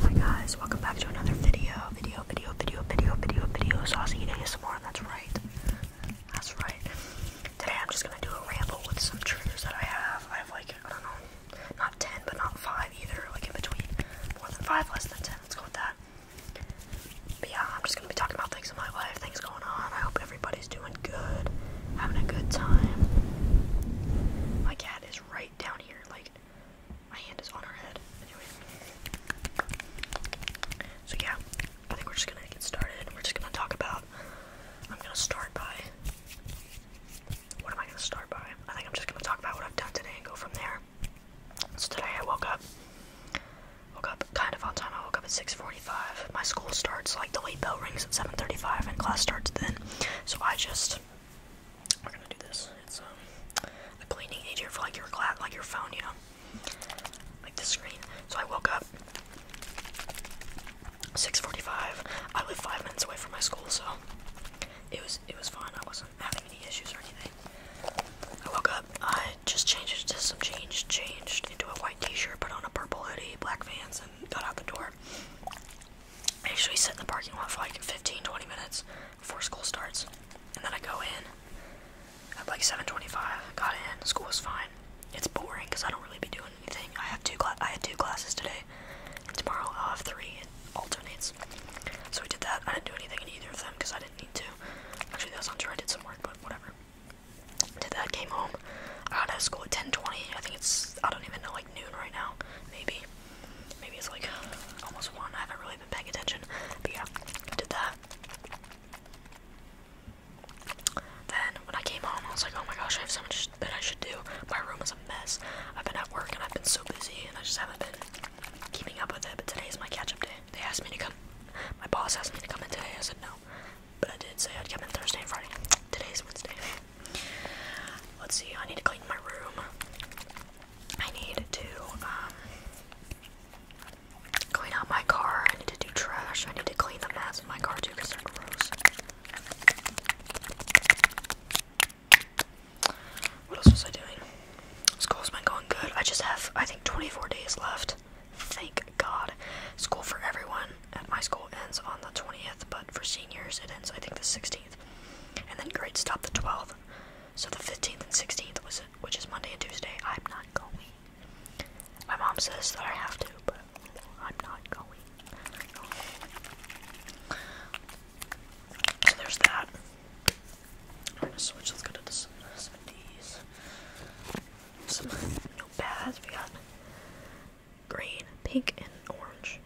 Hi guys, welcome back to another video, video, video, video, video, video, video, saucy eating ASMR, that's right, that's right. Today I'm just gonna do a ramble with some triggers that I have. I have like, I don't know, not 10, but not 5 either, like in between. More than 5, less than 10, let's go with that. But yeah, I'm just gonna be talking about things in my life, things going on. I hope everybody's doing good, having a good time. My cat is right down here, like, my hand is on her head. Anyway. So yeah, I think we're just gonna get started and we're just gonna talk about I'm gonna start by what am I gonna start by? I think I'm just gonna talk about what I've done today and go from there. So today I woke up woke up kind of on time. I woke up at 6:45. My school starts like the late bell rings at 7:35 and class starts then. So I just we're gonna do this. It's um, a cleaning agent for like your like your phone, you know, like the screen. So I woke up 6:45. I live five minutes away from my school, so it was it was fine. I wasn't having any issues or anything. I woke up. I just changed to some change, changed into a white T-shirt, put on a purple hoodie, black Vans, and got out the door. I usually sit in the parking lot for like 15, 20 minutes before school starts. And then I go in at like 7:25. Got in. School was fine. It's boring because I don't really be doing anything. I have two I had two classes today, tomorrow I'll have three. It alternates. So we did that. I didn't do anything in either of them because I didn't need to. Actually, that's not true. I did some work, but whatever. Did that. Came home. I got out of school at 10:20. I think it's I don't even know like noon right now, maybe. Maybe it's like almost one. I haven't really been paying attention. But yeah, I did that. Then when I came home, I was like, oh my gosh, I have so much that I should do. My room is a mess. I've been at work and I've been so busy and I just haven't been keeping up with it. But today is my catch up day. They asked me to come. My boss asked me to come in today. I said no. But I did say I'd come in Thursday and Friday. Today's Wednesday. Let's see, I need to clean my room. I need to um, clean out my car. I need to do trash. I need to clean the mess in my car too because they're gross. What else was I doing? School's been going good. I just have, I think, 24 days left. Thank God. School for everyone at my school ends on the 20th, but for seniors it ends, I think, the 16th and then grade stop the 12th. So the 15th and 16th, was which is Monday and Tuesday, I'm not going. My mom says that I have to, but I'm not going. So there's that. I'm gonna switch. Let's go to some of these. Some notepads. We got green, pink, and orange.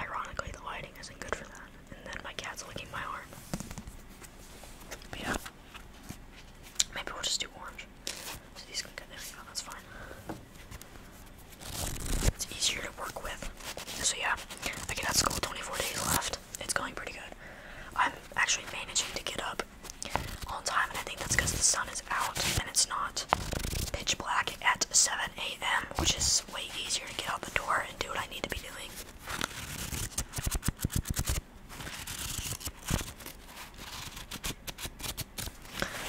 Ironically, the lighting isn't good for that. And then my cat's licking my arm. yeah. Maybe we'll just do orange. So these can go there. Yeah, that's fine. It's easier to work with. So yeah, I get out of school 24 days left. It's going pretty good. I'm actually managing to get up on time, and I think that's because the sun is out and it's not pitch black at 7 a.m., which is way easier to get out the door and do what I need to be doing.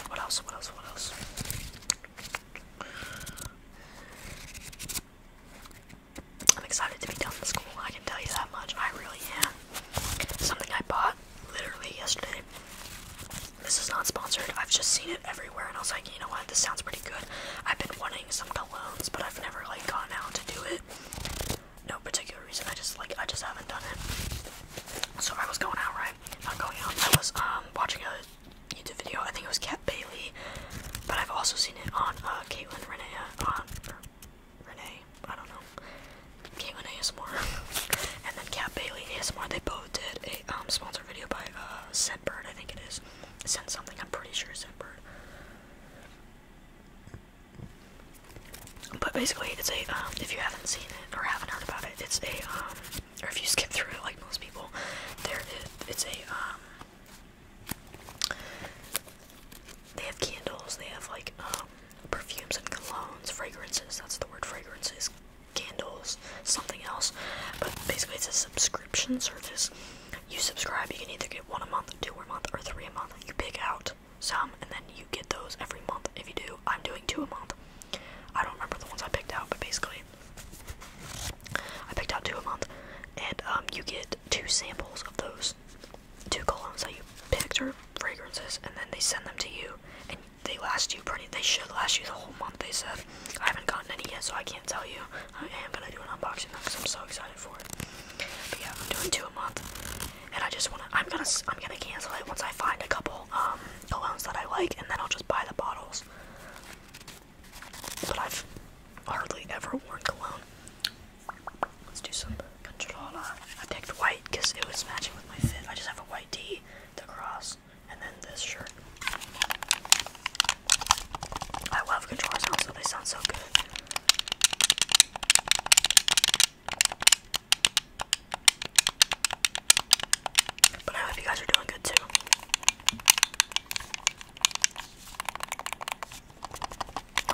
What else? What else? What else? I'm excited to be done with school, I can tell you that much. I really am. Something I bought literally yesterday. This is not sponsored. I've just seen it everywhere, and I was like, you know what, this sounds pretty good. I've been wanting some colognes, but I've never like gone out to do it. No particular reason. I just like I just haven't done it. So I was going out, right? Not going out. I was um watching a YouTube video. I think it was Cat Bailey, but I've also seen it on uh, Caitlyn Renee uh, on Renee. I don't know. Caitlyn ASMR and then Cat Bailey ASMR. They both did a um sponsored video by uh Scentbird, I think it is. Sent something, I'm pretty sure bird. But basically, it's a, um, if you haven't seen it or haven't heard about it, it's a, um, or if you skip through it like most people, there it's a, um, they have candles, they have like, um, perfumes and colognes, fragrances, that's the word, fragrances, candles, something else. But basically, it's a subscription service. You subscribe, you can either get one a month, two a month, or three a month. You pick out some, and then you get those every month. If you do, I'm doing two a month. I don't remember the ones I picked out, but basically, I picked out two a month, and um, you get two samples of those two colognes that you picked or fragrances, and then they send them to you, and they last you pretty. They should last you the whole month. They said. I haven't gotten any yet, so I can't tell you. I am gonna do an unboxing because I'm so excited for it. But yeah, I'm doing two a month, and I just wanna. I'm gonna. I'm gonna cancel it once I find a couple um colognes that I like, and then I'll just buy the bottles. But I've hardly ever worn cologne. Let's do some controller. I picked white because it was matching with my fit. I just have a white tee, the cross, and then this shirt. I love guitar sounds, so they sound so good. But I hope you guys are doing good too.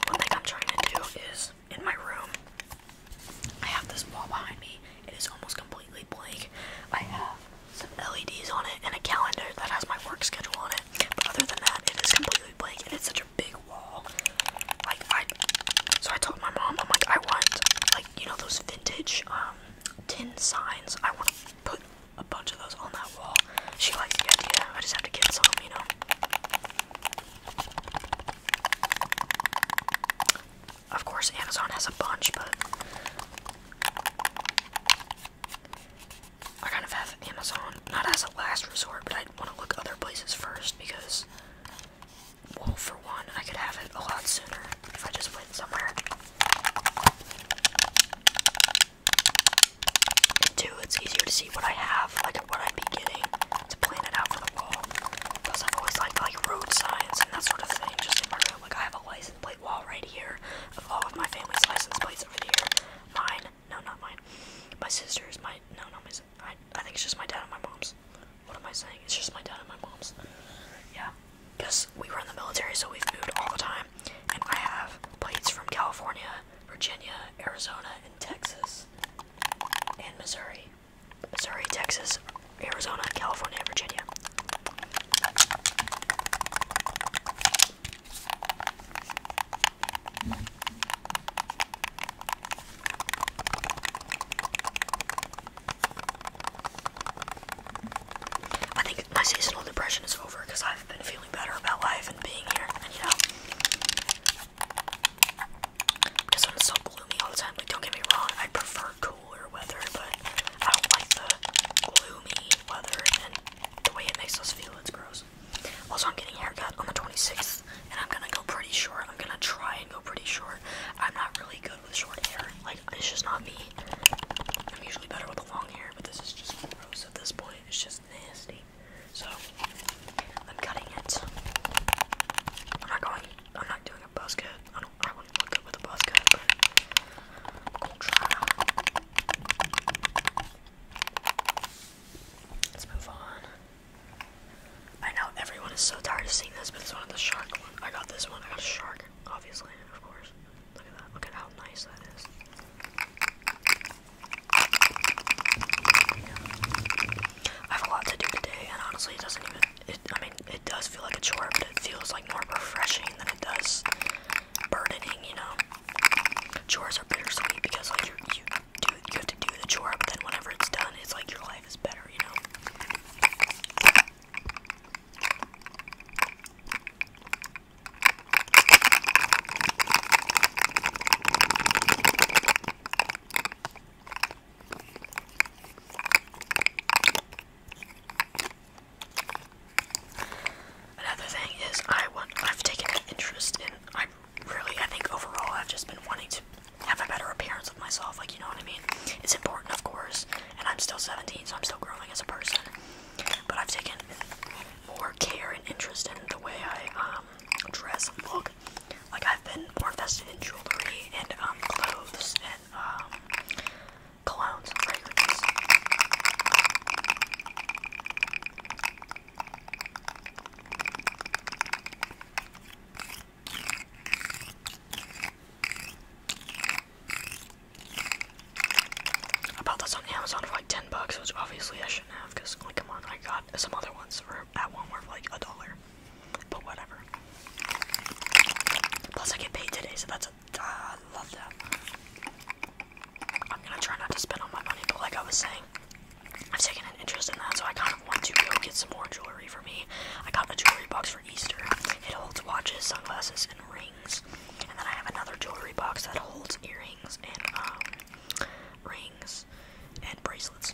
One thing I'm trying to do is in my room, I have this wall behind me it is almost completely blank. I have some LEDs on it and a calendar that has my work schedule on it. But other than that, it is completely blank and it's such a big wall. Like I so I told my mom, I'm like, I want like, you know, those vintage um tin signs. I wanna put a bunch of those on that wall. She likes the idea. I just have to get some, you know. Of course, Amazon has a bunch, but I kind of have Amazon not as a last resort, but I want to look other places first because, well, for one, I could have it a lot sooner if I just went somewhere. And two, it's easier to see what I have, like what i am beginning to plan it out for the wall. Because I've always liked like road signs and that sort of thing, just in my room. Like I have always license plate wall right here of all of my family's license plates over the year. Mine, no, not mine. My sister's, my no, not my. I, I think it's just my dad and my mom's. What am I saying? It's just my dad and my mom's. Yeah, because we were in the military, so we've moved all the time, and I have plates from California, Virginia, Arizona, and Texas, and Missouri. Missouri, Texas, Arizona, California, Virginia. I think my seasonal depression is over because I've been feeling better about life and being here, and you know. Because when it's so gloomy all the time, like don't get me wrong, I prefer cool cooler weather, but I don't like the gloomy weather and the way it makes us feel. It's gross. Also, I'm getting haircut on the 26th, and I'm gonna go pretty short. I'm gonna try and go pretty short. I'm not really good with short hair. Like, it's just not me. I'm usually better with long hair, but this is just gross at this point. It's just nasty. So, I'm cutting it. I'm not going. I'm not doing a I don't. I wouldn't look with a buzz Let's move on. I know everyone is so tired of seeing this, but it's one of the shark I got this one. I got a shark, obviously, of course. Look at that. Look at how nice that is. I have a lot to do today, and honestly, it doesn't even it, I mean, it does feel like a chore, but it feels like more refreshing than it does burdening. You know, chores are bittersweet because like you you you have to do the chore, but then whenever it's done, it's like your life is better. You know. Another thing is I want I've taken an interest in I'm really I think overall I've just been wanting to have a better appearance of myself, like you know what I mean? It's important of course, and I'm still 17, so I'm still growing as a person. But I've taken more care and interest in the way I um, dress and look. Like I've been more invested in jewelry and um clothes um, clowns and fragrances. I bought this on Amazon for like 10 bucks, which obviously I shouldn't have, because, like, come on, I got some other ones for at Walmart for like a dollar. But whatever. Plus, I get paid today, so that's a. Uh, I love that. I'm gonna try not to spend all my money, but like I was saying, I've taken an interest in that, so I kind of want to go get some more jewelry for me. I got a jewelry box for Easter. It holds watches, sunglasses, and rings. And then I have another jewelry box that holds earrings and um, rings and bracelets.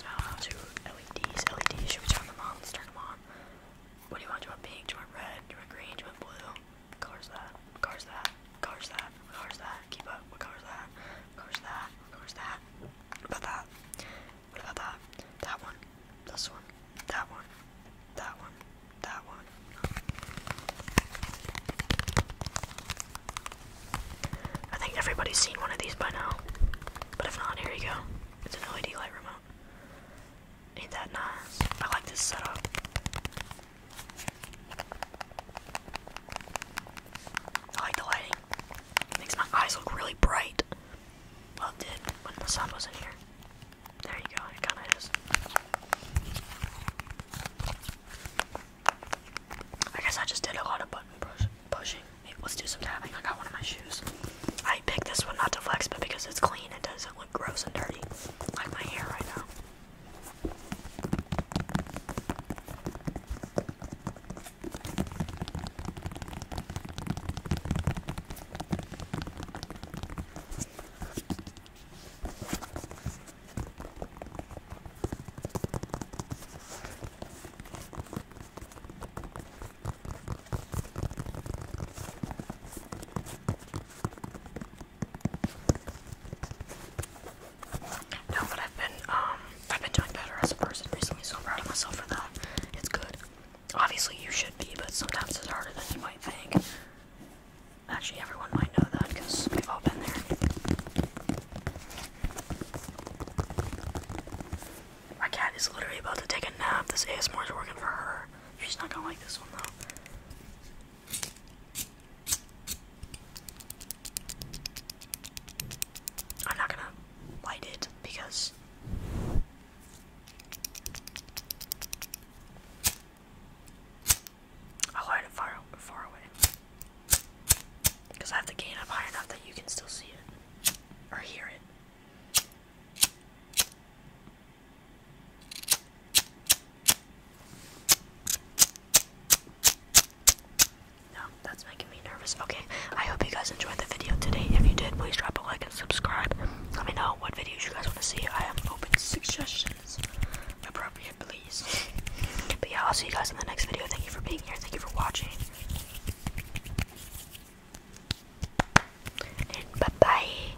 Now to LEDs, LEDs, should we turn them on? Let's turn them on. What do you want? Do you want pink? Do you want red? Do you want green? Do you want blue? What color's that? What color's that? What color's that? What color's that? Keep up. What color's that? What color's that? What color's that? What about that? What about that? That one. This one. That one. That one. That one. I think everybody's seen one of these by now. But if not, here you go. It's an LED light remote. Ain't that nice? I like this setup. I like the lighting. makes my eyes look really bright. Loved it when the sun was in here. There you go, it kinda is. I guess I just did a lot of button pushing. Hey, let's do some tapping. I got one of my shoes. I picked this one not to flex, but because it's clean, it doesn't gross and dirty, like my hair right now. No, but I've been um I've been doing better as a person recently, so proud of myself for that. It's good. Obviously you should be, but sometimes it's harder than you might think. Actually, everyone might know that because we've all been there. My cat is literally about to take a nap. This ASMR is working for her. She's not gonna like this one though. I'm not gonna light it because I'll light it far, far away. Because I have the gain up high enough that you can still see it or hear it. No, that's making me nervous. Okay, I hope you guys enjoyed the video today. If you did, please drop a like and subscribe. Let me know what videos you guys want to see. I am open to suggestions. Appropriate, please. But yeah, I'll see you guys in the next video. Thank you for being here. Thank you for watching. And bye bye.